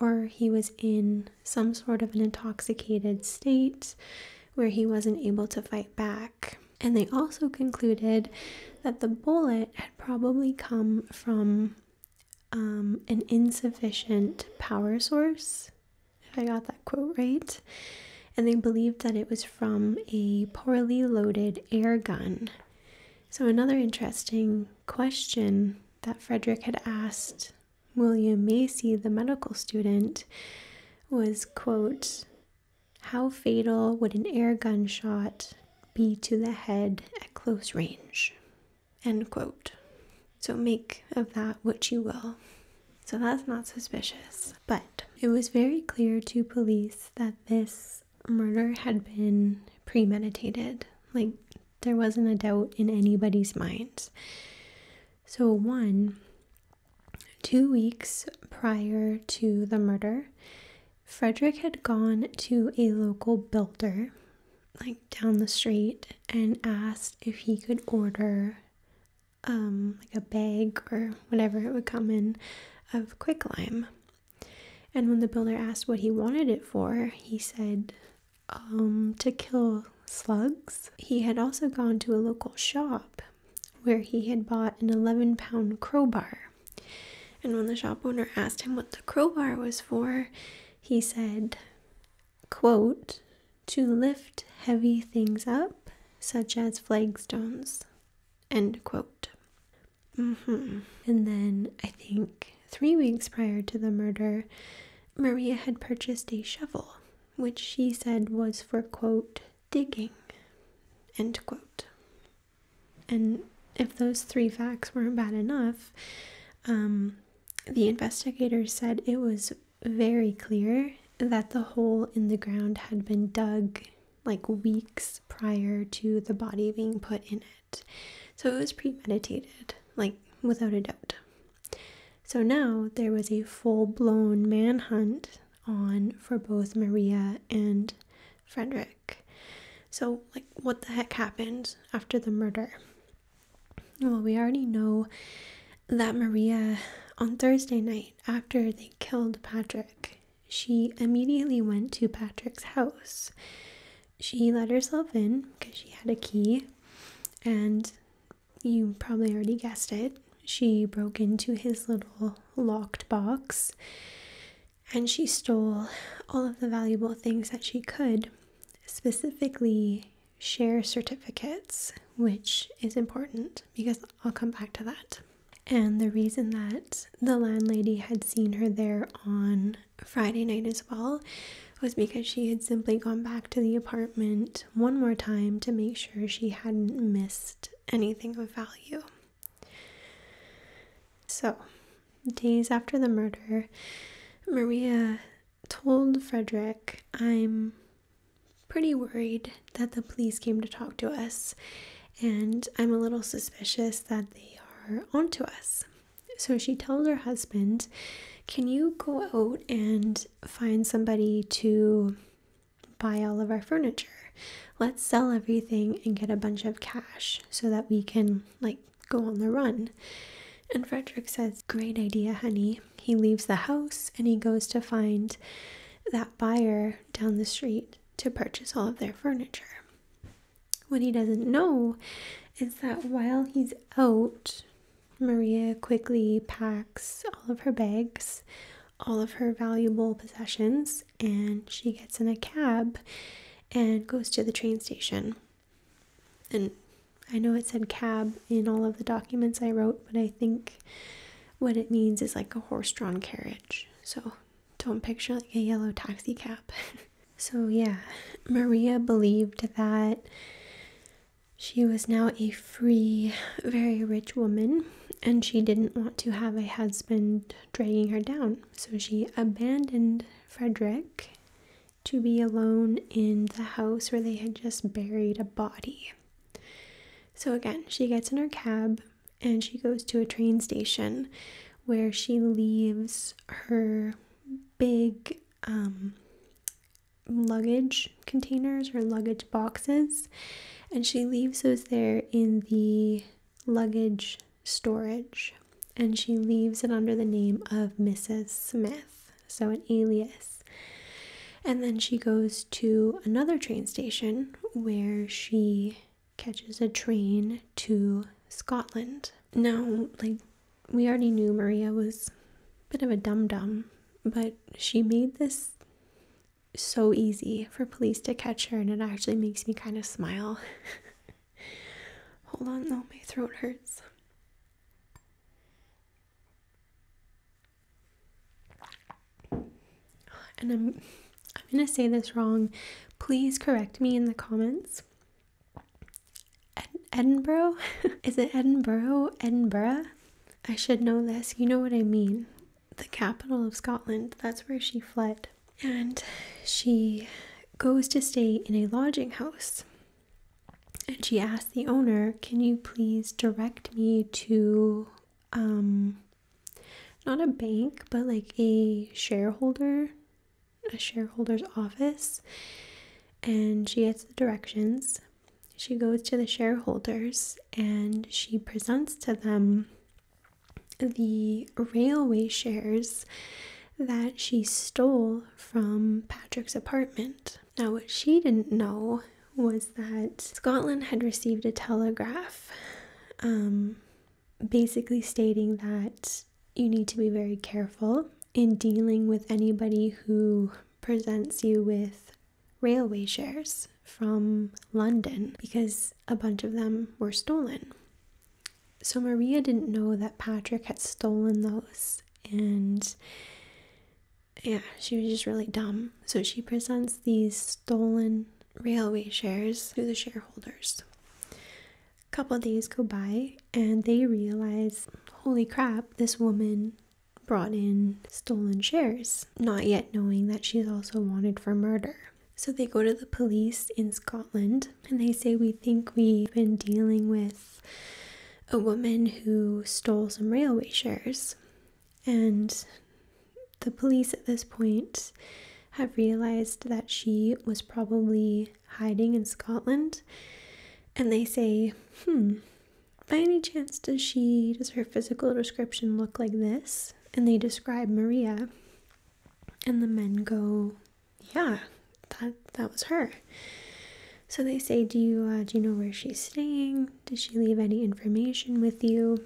or he was in some sort of an intoxicated state where he wasn't able to fight back. And they also concluded that the bullet had probably come from um, an insufficient power source, if I got that quote right. And they believed that it was from a poorly loaded air gun. So, another interesting question that Frederick had asked William Macy, the medical student, was quote, how fatal would an air gun shot be to the head at close range? End quote. So make of that what you will. So that's not suspicious. But it was very clear to police that this murder had been premeditated. Like there wasn't a doubt in anybody's minds. So, one, two weeks prior to the murder, Frederick had gone to a local builder like down the street and asked if he could order um like a bag or whatever it would come in of quicklime. And when the builder asked what he wanted it for, he said um to kill slugs. He had also gone to a local shop where he had bought an 11 pound crowbar. And when the shop owner asked him what the crowbar was for, he said, quote, to lift heavy things up, such as flagstones, end quote. Mm-hmm. And then I think three weeks prior to the murder, Maria had purchased a shovel, which she said was for, quote, digging, end quote. And if those three facts weren't bad enough, um, the investigators said it was very clear that the hole in the ground had been dug like weeks prior to the body being put in it. So it was premeditated, like without a doubt. So now there was a full blown manhunt on for both Maria and Frederick. So, like, what the heck happened after the murder? Well, we already know that Maria, on Thursday night, after they killed Patrick, she immediately went to Patrick's house. She let herself in because she had a key, and you probably already guessed it. She broke into his little locked box and she stole all of the valuable things that she could, specifically share certificates, which is important because I'll come back to that. And the reason that the landlady had seen her there on Friday night as well was because she had simply gone back to the apartment one more time to make sure she hadn't missed anything of value. So, days after the murder, Maria told Frederick, I'm pretty worried that the police came to talk to us, and I'm a little suspicious that they are onto us. So she told her husband, Can you go out and find somebody to buy all of our furniture? Let's sell everything and get a bunch of cash so that we can like go on the run. And Frederick says, Great idea, honey. He leaves the house and he goes to find that buyer down the street to purchase all of their furniture. What he doesn't know is that while he's out, Maria quickly packs all of her bags, all of her valuable possessions, and she gets in a cab and goes to the train station. And I know it said cab in all of the documents I wrote, but I think what it means is like a horse drawn carriage. So don't picture like a yellow taxi cab. (laughs) so, yeah, Maria believed that she was now a free, very rich woman, and she didn't want to have a husband dragging her down. So she abandoned Frederick to be alone in the house where they had just buried a body. So again, she gets in her cab and she goes to a train station where she leaves her big um, luggage containers or luggage boxes and she leaves those there in the luggage storage and she leaves it under the name of Mrs. Smith so an alias. And then she goes to another train station where she catches a train to Scotland. Now, like, we already knew Maria was a bit of a dum dum, but she made this so easy for police to catch her, and it actually makes me kind of smile. (laughs) Hold on, though, my throat hurts and I'm I'm going to say this wrong. Please correct me in the comments. Edinburgh? (laughs) Is it Edinburgh? Edinburgh? I should know this. You know what I mean. The capital of Scotland. That's where she fled. And she goes to stay in a lodging house and she asks the owner, Can you please direct me to um not a bank, but like a shareholder, a shareholder's office? And she gets the directions. She goes to the shareholders and she presents to them the railway shares that she stole from Patrick's apartment. Now, what she didn't know was that Scotland had received a telegraph um, basically stating that you need to be very careful in dealing with anybody who presents you with railway shares from London because a bunch of them were stolen. So Maria didn't know that Patrick had stolen those and yeah, she was just really dumb. So she presents these stolen railway shares to the shareholders. A couple days go by and they realize, holy crap, this woman brought in stolen shares, not yet knowing that she's also wanted for murder. So they go to the police in Scotland and they say, We think we've been dealing with a woman who stole some railway shares. And the police at this point have realized that she was probably hiding in Scotland. And they say, hmm, by any chance does she, does her physical description look like this? And they describe Maria. And the men go, yeah, that that was her. So they say, "Do you uh, do you know where she's staying? Did she leave any information with you?"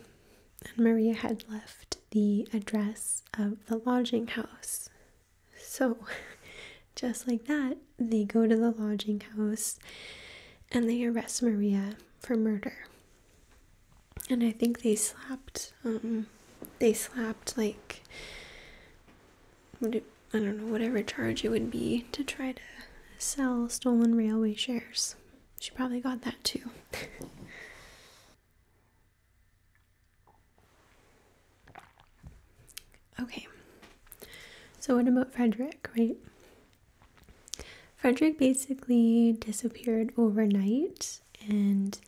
And Maria had left the address of the lodging house. So, (laughs) just like that, they go to the lodging house and they arrest Maria for murder. And I think they slapped um they slapped like I don't know, whatever charge it would be to try to sell stolen railway shares. She probably got that too. (laughs) okay, so what about Frederick, right? Frederick basically disappeared overnight and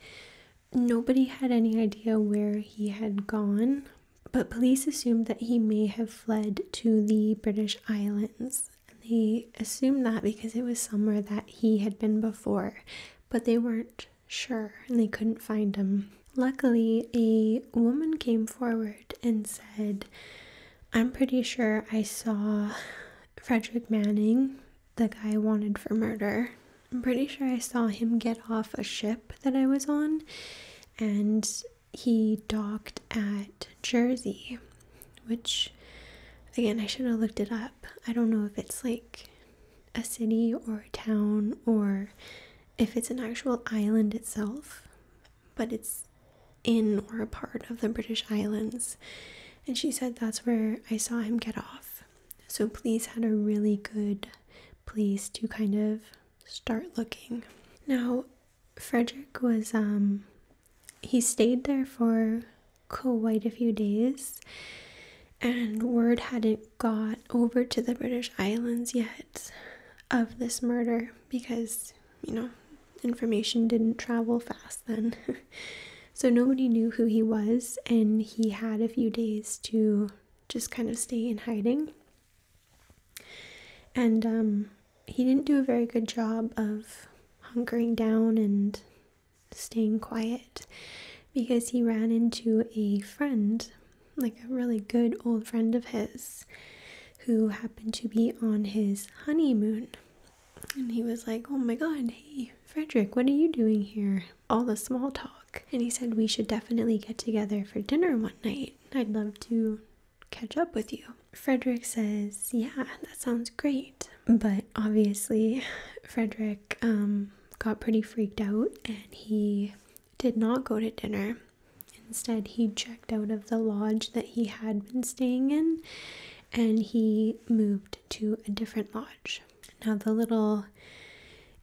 nobody had any idea where he had gone but police assumed that he may have fled to the British Islands. And they assumed that because it was somewhere that he had been before, but they weren't sure and they couldn't find him. Luckily, a woman came forward and said, I'm pretty sure I saw Frederick Manning, the guy wanted for murder. I'm pretty sure I saw him get off a ship that I was on and he docked at Jersey, which again, I should have looked it up. I don't know if it's like a city or a town or if it's an actual island itself, but it's in or a part of the British Islands. And she said that's where I saw him get off. So, Please had a really good place to kind of start looking. Now, Frederick was, um, he stayed there for quite a few days, and word hadn't got over to the British Islands yet of this murder because, you know, information didn't travel fast then. (laughs) so nobody knew who he was, and he had a few days to just kind of stay in hiding. And um, he didn't do a very good job of hunkering down and staying quiet because he ran into a friend, like a really good old friend of his, who happened to be on his honeymoon. And he was like, Oh my god, hey, Frederick, what are you doing here? All the small talk. And he said, We should definitely get together for dinner one night. I'd love to catch up with you. Frederick says, Yeah, that sounds great. But obviously, (sighs) Frederick um, got pretty freaked out and he did not go to dinner. Instead, he checked out of the lodge that he had been staying in and he moved to a different lodge. Now, the little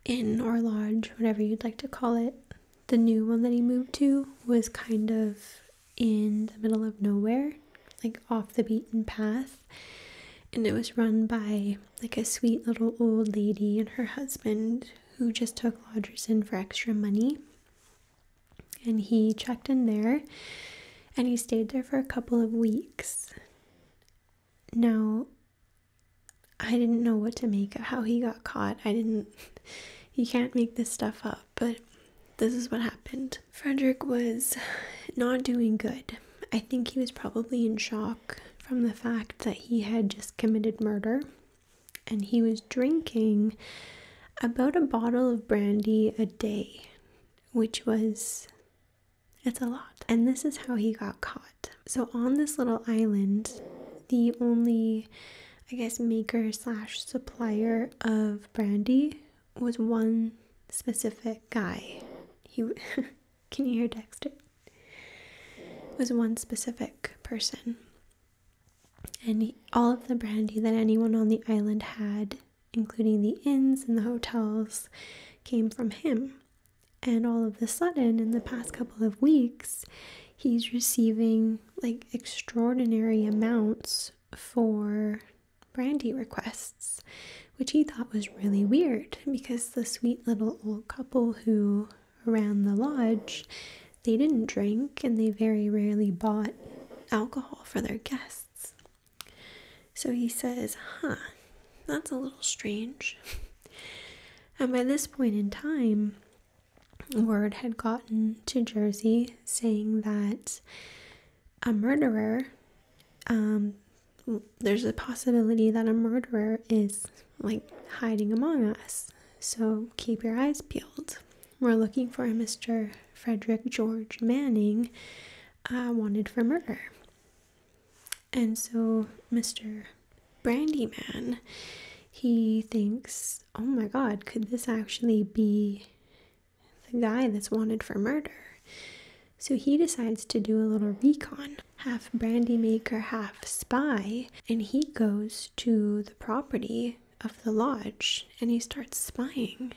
inn or lodge, whatever you'd like to call it, the new one that he moved to was kind of in the middle of nowhere, like off the beaten path. And it was run by like a sweet little old lady and her husband who just took lodgers in for extra money. And he checked in there and he stayed there for a couple of weeks. Now, I didn't know what to make of how he got caught. I didn't. You can't make this stuff up, but this is what happened. Frederick was not doing good. I think he was probably in shock from the fact that he had just committed murder and he was drinking about a bottle of brandy a day, which was. It's a lot. And this is how he got caught. So, on this little island, the only I guess maker slash supplier of brandy was one specific guy. He (laughs) can you hear Dexter? Was one specific person, and all of the brandy that anyone on the island had, including the inns and the hotels, came from him. And all of a sudden, in the past couple of weeks, he's receiving like extraordinary amounts for brandy requests, which he thought was really weird because the sweet little old couple who ran the lodge, they didn't drink and they very rarely bought alcohol for their guests. So he says, huh, that's a little strange. (laughs) and by this point in time, word had gotten to Jersey saying that a murderer, um, there's a possibility that a murderer is like hiding among us. So keep your eyes peeled. We're looking for a Mr. Frederick George Manning, uh, wanted for murder. And so Mr. Brandyman. He thinks, oh my god, could this actually be the guy that's wanted for murder? So he decides to do a little recon, half brandy maker, half spy, and he goes to the property of the lodge and he starts spying.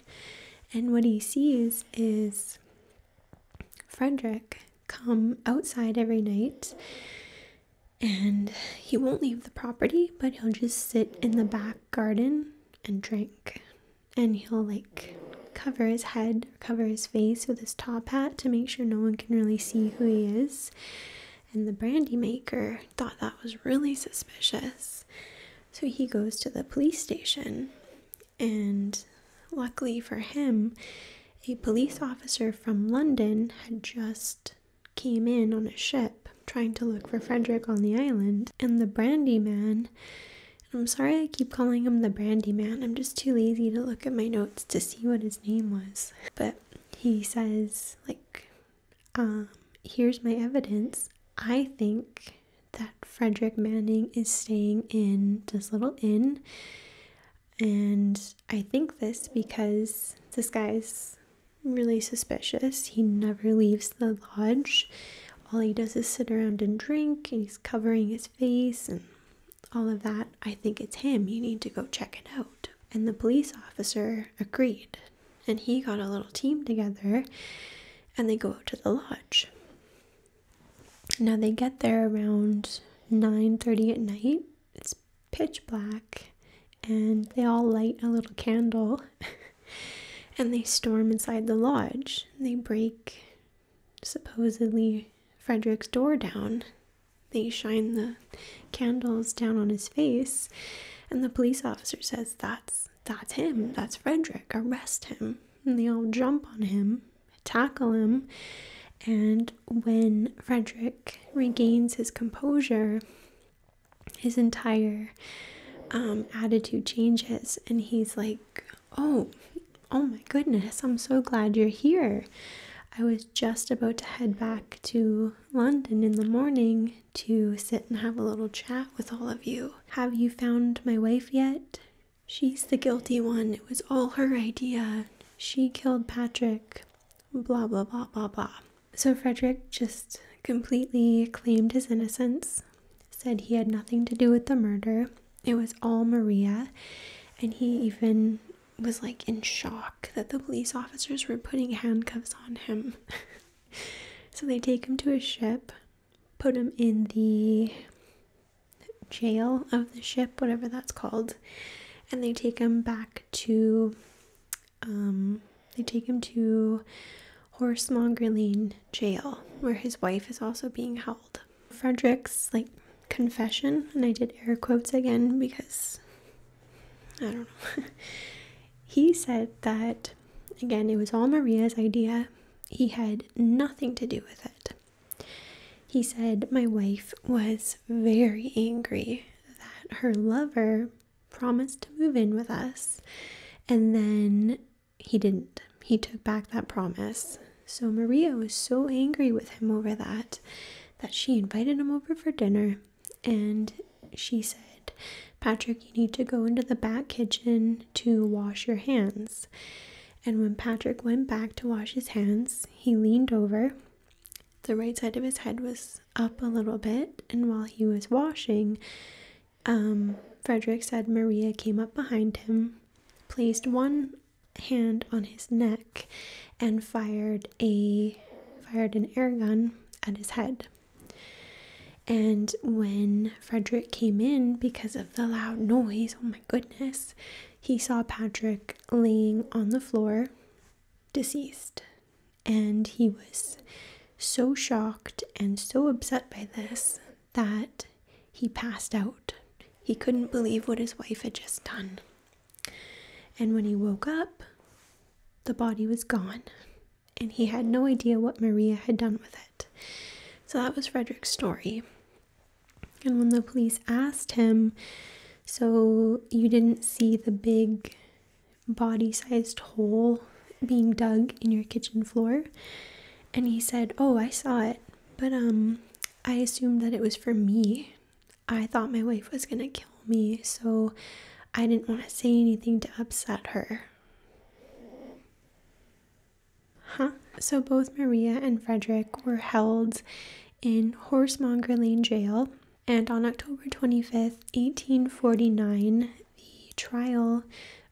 And what he sees is Frederick come outside every night and he won't leave the property, but he'll just sit in the back garden and drink. And he'll like cover his head, or cover his face with his top hat to make sure no one can really see who he is. And the brandy maker thought that was really suspicious. So he goes to the police station. And luckily for him, a police officer from London had just came in on a ship trying to look for Frederick on the island, and the brandy man. I'm sorry I keep calling him the brandy man. I'm just too lazy to look at my notes to see what his name was. But he says, like, um, here's my evidence. I think that Frederick Manning is staying in this little inn. And I think this because this guy's really suspicious. He never leaves the lodge. All he does is sit around and drink, and he's covering his face and all of that. I think it's him. You need to go check it out. And the police officer agreed. And he got a little team together and they go out to the lodge. Now they get there around 9:30 at night it's pitch black and they all light a little candle (laughs) and they storm inside the lodge. They break supposedly Frederick's door down. They shine the candles down on his face and the police officer says that's that's him, that's Frederick, arrest him. And they all jump on him, tackle him, and when Frederick regains his composure, his entire um, attitude changes and he's like oh oh my goodness i'm so glad you're here i was just about to head back to london in the morning to sit and have a little chat with all of you have you found my wife yet she's the guilty one it was all her idea she killed patrick blah blah blah blah blah so Frederick just completely claimed his innocence, said he had nothing to do with the murder. It was all Maria. And he even was like in shock that the police officers were putting handcuffs on him. (laughs) so they take him to a ship, put him in the jail of the ship, whatever that's called, and they take him back to um, they take him to Horsemonger Lane Jail, where his wife is also being held. Frederick's like confession, and I did air quotes again because I don't know. (laughs) he said that again, it was all Maria's idea. He had nothing to do with it. He said, My wife was very angry that her lover promised to move in with us. And then he didn't. He took back that promise. So Maria was so angry with him over that that she invited him over for dinner and she said, Patrick, you need to go into the back kitchen to wash your hands. And when Patrick went back to wash his hands, he leaned over the right side of his head was up a little bit, and while he was washing, um, Frederick said Maria came up behind him, placed one hand on his neck, and fired a fired an air gun at his head. And when Frederick came in because of the loud noise, oh my goodness, he saw Patrick laying on the floor, deceased, and he was so shocked and so upset by this that he passed out. He couldn't believe what his wife had just done. And when he woke up, the body was gone, and he had no idea what Maria had done with it. So that was Frederick's story. And when the police asked him, So you didn't see the big body sized hole being dug in your kitchen floor. And he said, Oh, I saw it, but um, I assumed that it was for me. I thought my wife was gonna kill me, so I didn't want to say anything to upset her. Huh? So both Maria and Frederick were held in Horsemonger Lane Jail and on October 25th, 1849, the trial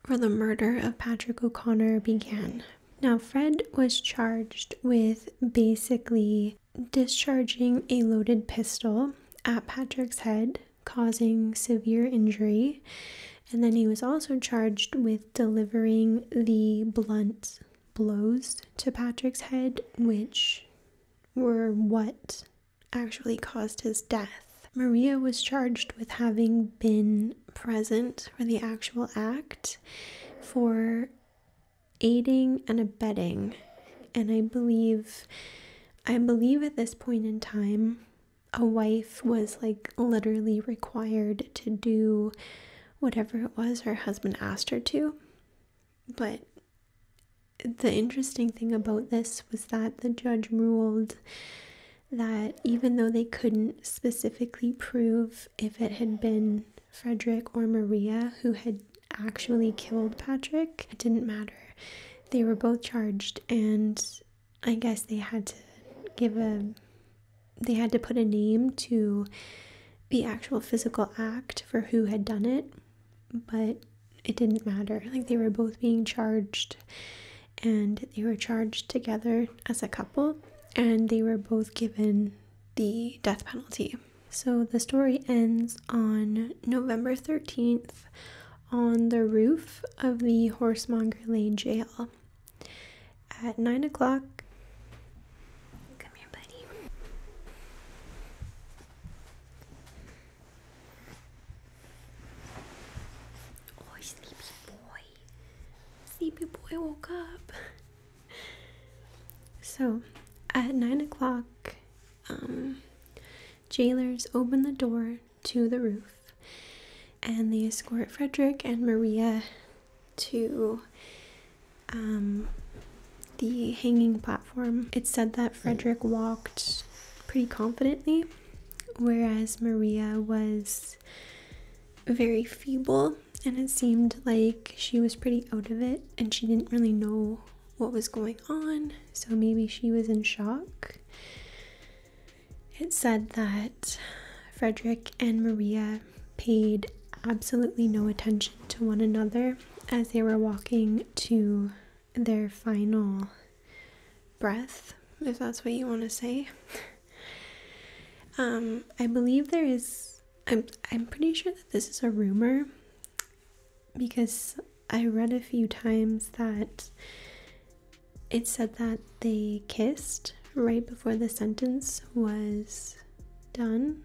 for the murder of Patrick O'Connor began. Now, Fred was charged with basically discharging a loaded pistol at Patrick's head, causing severe injury. And then he was also charged with delivering the blunt blows to Patrick's head, which were what actually caused his death. Maria was charged with having been present for the actual act for aiding and abetting. And I believe I believe at this point in time a wife was like literally required to do whatever it was her husband asked her to. But the interesting thing about this was that the judge ruled that even though they couldn't specifically prove if it had been Frederick or Maria who had actually killed Patrick, it didn't matter. They were both charged, and I guess they had to give a they had to put a name to the actual physical act for who had done it but it didn't matter. Like they were both being charged and they were charged together as a couple and they were both given the death penalty. So the story ends on November 13th on the roof of the Horsemonger Lane jail. At 9 o'clock, come here, buddy. Oh, sleepy boy. Sleepy boy woke up. So, at nine o'clock, um, jailers open the door to the roof and they escort Frederick and Maria to um, the hanging platform. It said that Frederick walked pretty confidently, whereas Maria was very feeble and it seemed like she was pretty out of it and she didn't really know what was going on, so maybe she was in shock. It said that Frederick and Maria paid absolutely no attention to one another as they were walking to their final breath, if that's what you want to say. Um, I believe there is. I'm I'm pretty sure that this is a rumor because I read a few times that it said that they kissed right before the sentence was done,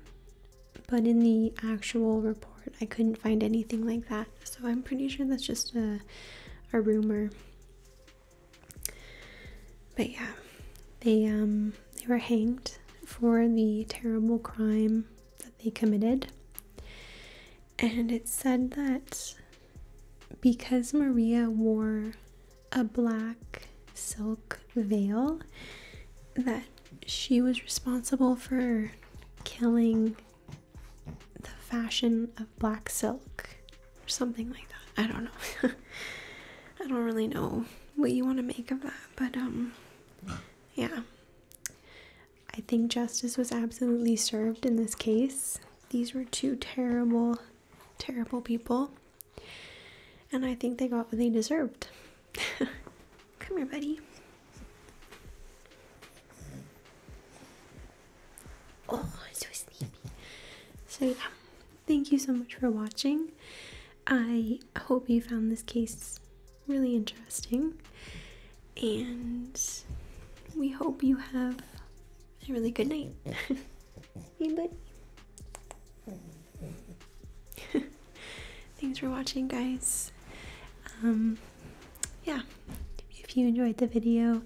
but in the actual report, I couldn't find anything like that. So I'm pretty sure that's just a a rumor. But yeah, they um they were hanged for the terrible crime that they committed. And it said that because Maria wore a black silk veil that she was responsible for killing the fashion of black silk or something like that. I don't know. (laughs) I don't really know what you want to make of that, but um yeah. I think justice was absolutely served in this case. These were two terrible, terrible people. And I think they got what they deserved. (laughs) Come here, buddy. Oh, i so sleepy. So, um, thank you so much for watching. I hope you found this case really interesting, and we hope you have a really good night. (laughs) hey, buddy. (laughs) Thanks for watching, guys. Um, yeah, if you enjoyed the video,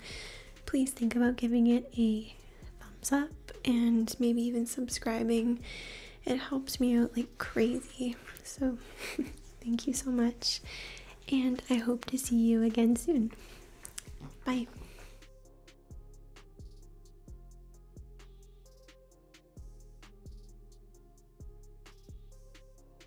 please think about giving it a thumbs up and maybe even subscribing. It helps me out like crazy. So, (laughs) thank you so much, and I hope to see you again soon. Bye.